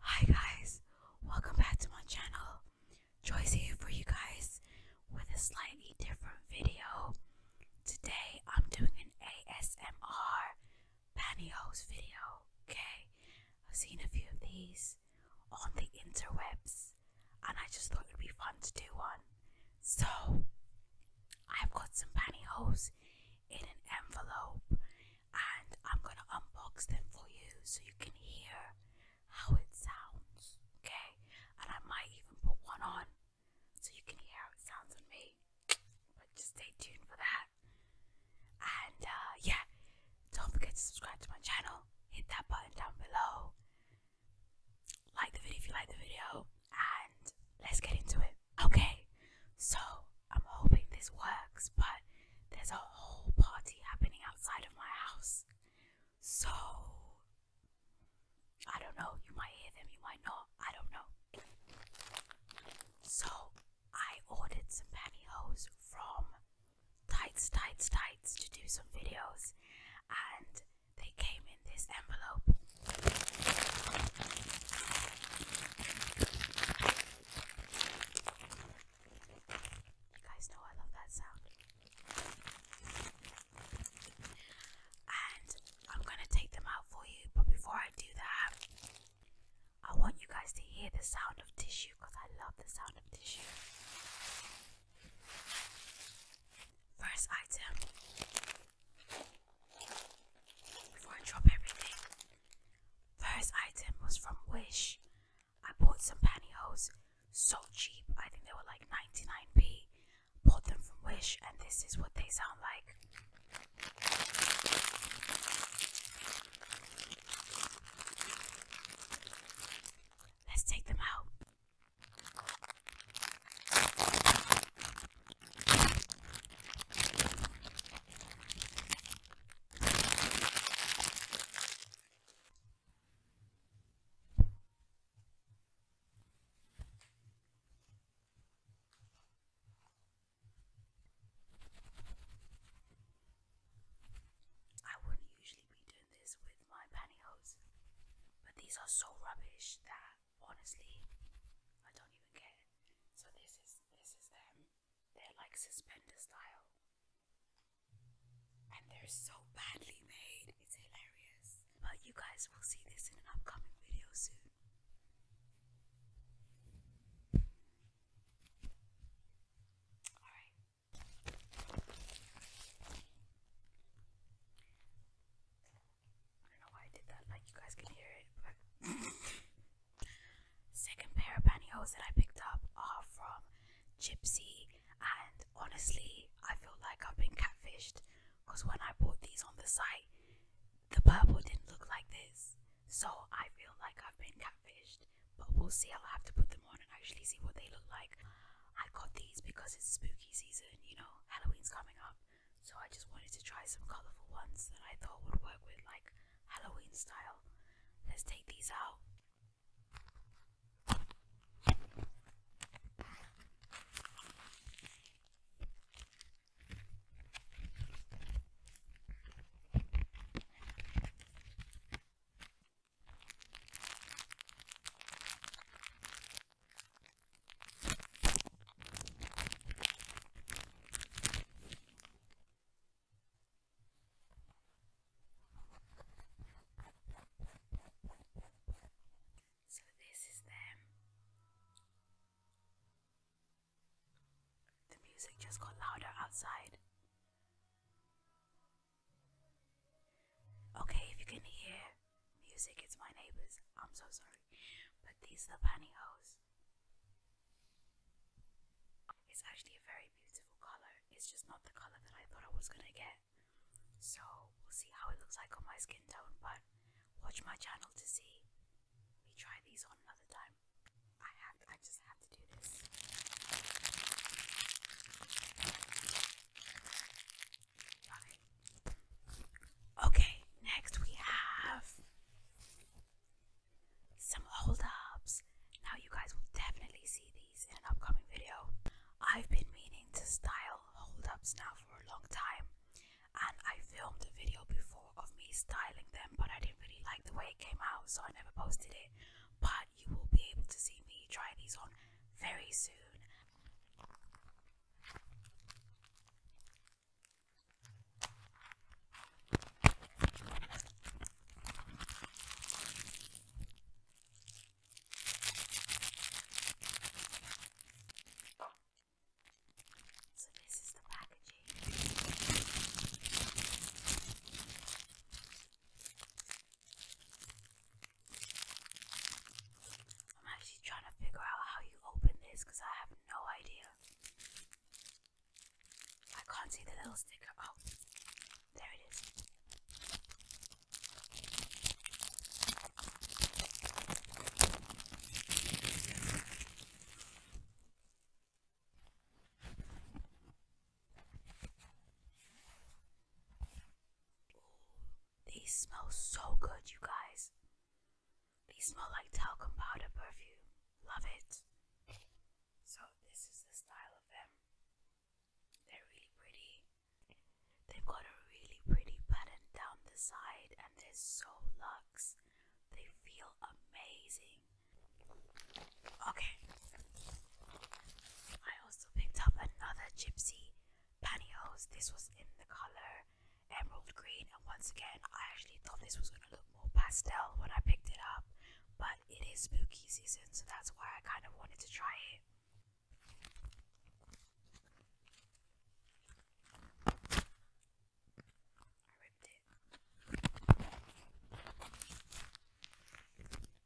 Hi guys, welcome back to my channel. Joyce here for you guys with a slightly different video. Today I'm doing an ASMR pantyhose video, okay? I've seen a few of these on the interwebs and I just thought it would be fun to do one. So, I've got some pantyhose in an envelope and I'm gonna unbox them for you so you can hear how it sounds, okay? And I might even put one on so you can hear how it sounds on me. But just stay tuned for that. And uh, yeah, don't forget to subscribe to my channel, hit that button down below, like the video if you like the video, and let's get into it. Okay, so I'm hoping this works, but there's a whole party happening outside of my house. So, I don't know, you might hear them, you might not, I don't know. So, I ordered some pantyhose from Tights, Tights, Tights to do some videos, and they came in this envelope. You guys know I love that sound. And I'm going to take them out for you, but before I do that, I want you guys to hear the sound of tissue because I love the sound of tissue. First item before I drop everything, first item was from Wish. I bought some pantyhose so cheap, I think they were like 99p. Bought them from Wish, and this is what they sound like. Let's take them out. I wouldn't usually be doing this with my pantyhose, but these are so rubbish that honestly, I don't even care. So this is this is them. They're like suspender style. And they're so badly made. It's hilarious. But you guys will see this in an upcoming video soon. Alright. I second pair of pantyhose that I picked up are from Gypsy and honestly I feel like I've been catfished because when I bought these on the site the purple didn't look like this. So I feel like I've been catfished. But we'll see, I'll have to put them on and actually see what they look like. I got these because it's spooky season, you know, Halloween's coming up so I just wanted to try some colourful ones that I thought would work with like Halloween style. Let's take these out. So this is them. The music just got louder outside. Okay, if you can hear Music It's my neighbors. I'm so sorry. But these are the pantyhose. It's actually a very beautiful colour. It's just not the colour that I thought I was gonna get. So we'll see how it looks like on my skin tone, but watch my channel to see. We try these on another time. I have I just have to do this. Okay, next we have some holdups. Now, you guys will definitely see these in an upcoming video. I've been meaning to style holdups now for a long time, and I filmed a video before of me styling them, but I didn't really like the way it came out, so I never posted it. But you will be able to see me try these on very soon. So this is the packaging. I'm actually trying to figure out how you open this because I have no idea. I can't see the little sticker. Oh, there it is. Ooh, these smell so good, you guys. They smell like talcum powder perfume. Love it. So, this is the style of them. They're really pretty. They've got a really pretty pattern down the side, and they're so luxe. They feel amazing. Okay. I also picked up another gypsy pantyhose. This was in the color emerald green, and once again, I actually thought this was gonna look more pastel when I picked it up, but it is spooky season, so that's why I kind of wanted to try it. I ripped it.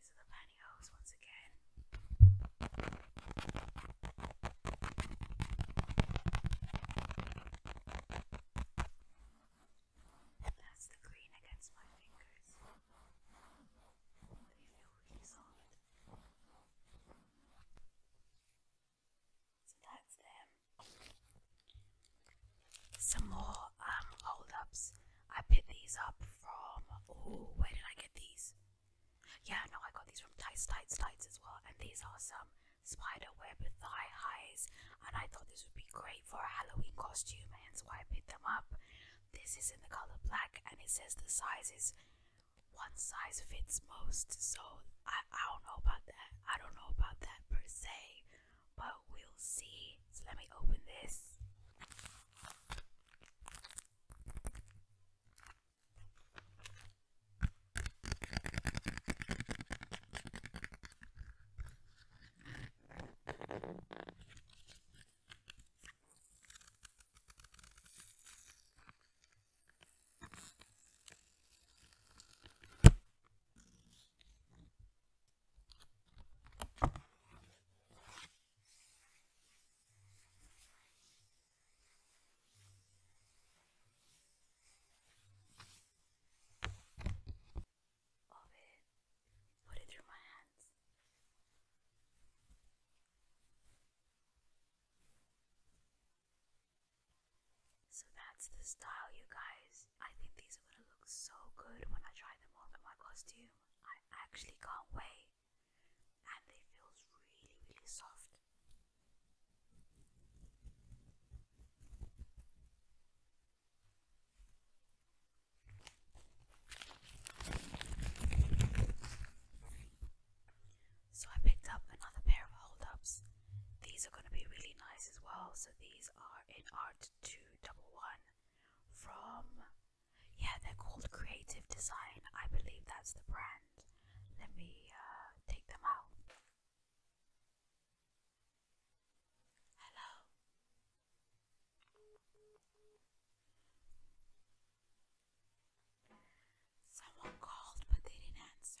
These are the pantyhose once again. That's the green against my fingers. They feel really soft. So that's them some more um hold ups. I picked these up from oh where did I get these? Yeah, no, I got these from Tights Tights as well, and these are some spider web thigh highs, and I thought this would be great for a Halloween costume, hence why I picked them up. This is in the color black, and it says the size is one size fits most. So I I don't know about that. I don't know about that per se, but we'll see. So let me open this of it, put it through my hands. So that's the style, you guys. I think these these are gonna look so good when I try them on with my costume. I actually can't wait. And they feels really, really soft. So I picked up another pair of hold ups. These are going to be really nice as well. So these are in art 8211 from, yeah, they're called Creative Design. I believe that's the brand. Let me uh, take them out. Hello. Someone called, but they didn't answer.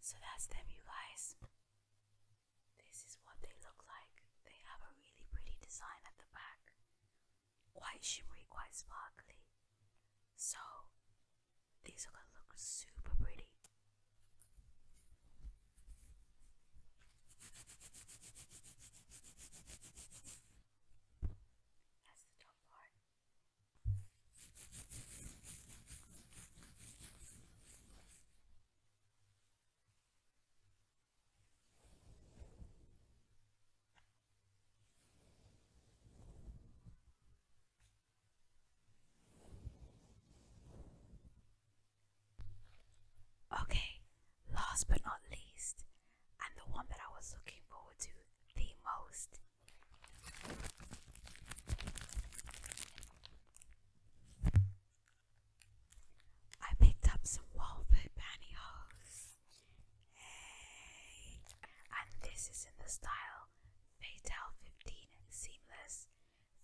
So that's them, you guys. This is what they look like. They have a really pretty design at the back, quite shimmery, quite sparkly. So, these are gonna look super pretty. That's the top part. Okay, last but not least, and the one that I was looking forward to the most I picked up some Walford pantyhose. And this is in the style Fatal 15 Seamless,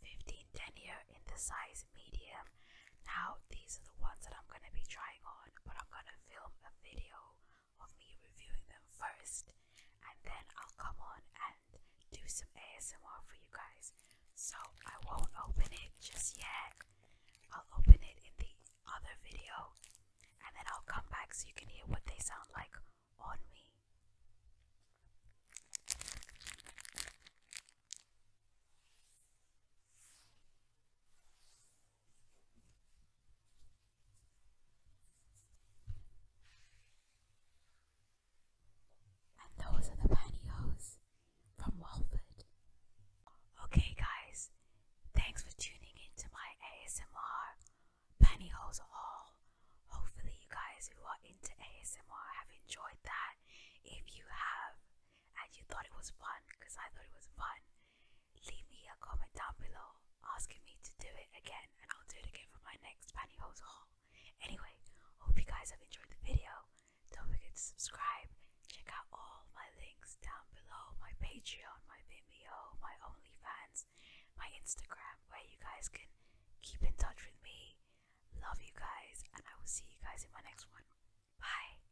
15 denier in the size medium. Now, these are the ones that I'm going to be trying on, but I'm going to film a video of me reviewing them first, and then I'll come on and do some ASMR for you guys. So I won't open it just yet. I'll open it in the other video, and then I'll come back so you can hear what they sound like on me those are the pantyhose from Walford. Okay, guys, thanks for tuning into my ASMR penny holes haul. Hopefully, you guys who are into ASMR have enjoyed that. If you have and you thought it was fun, because I thought it was fun, leave me a comment down below asking me to do it again and I'll do it again for my next pantyhose haul. Anyway, hope you guys have enjoyed the video. Don't forget to subscribe. Check out all my links down below, my Patreon, my Vimeo, my OnlyFans, my Instagram, where you guys can keep in touch with me. Love you guys and I will see you guys in my next one. Bye!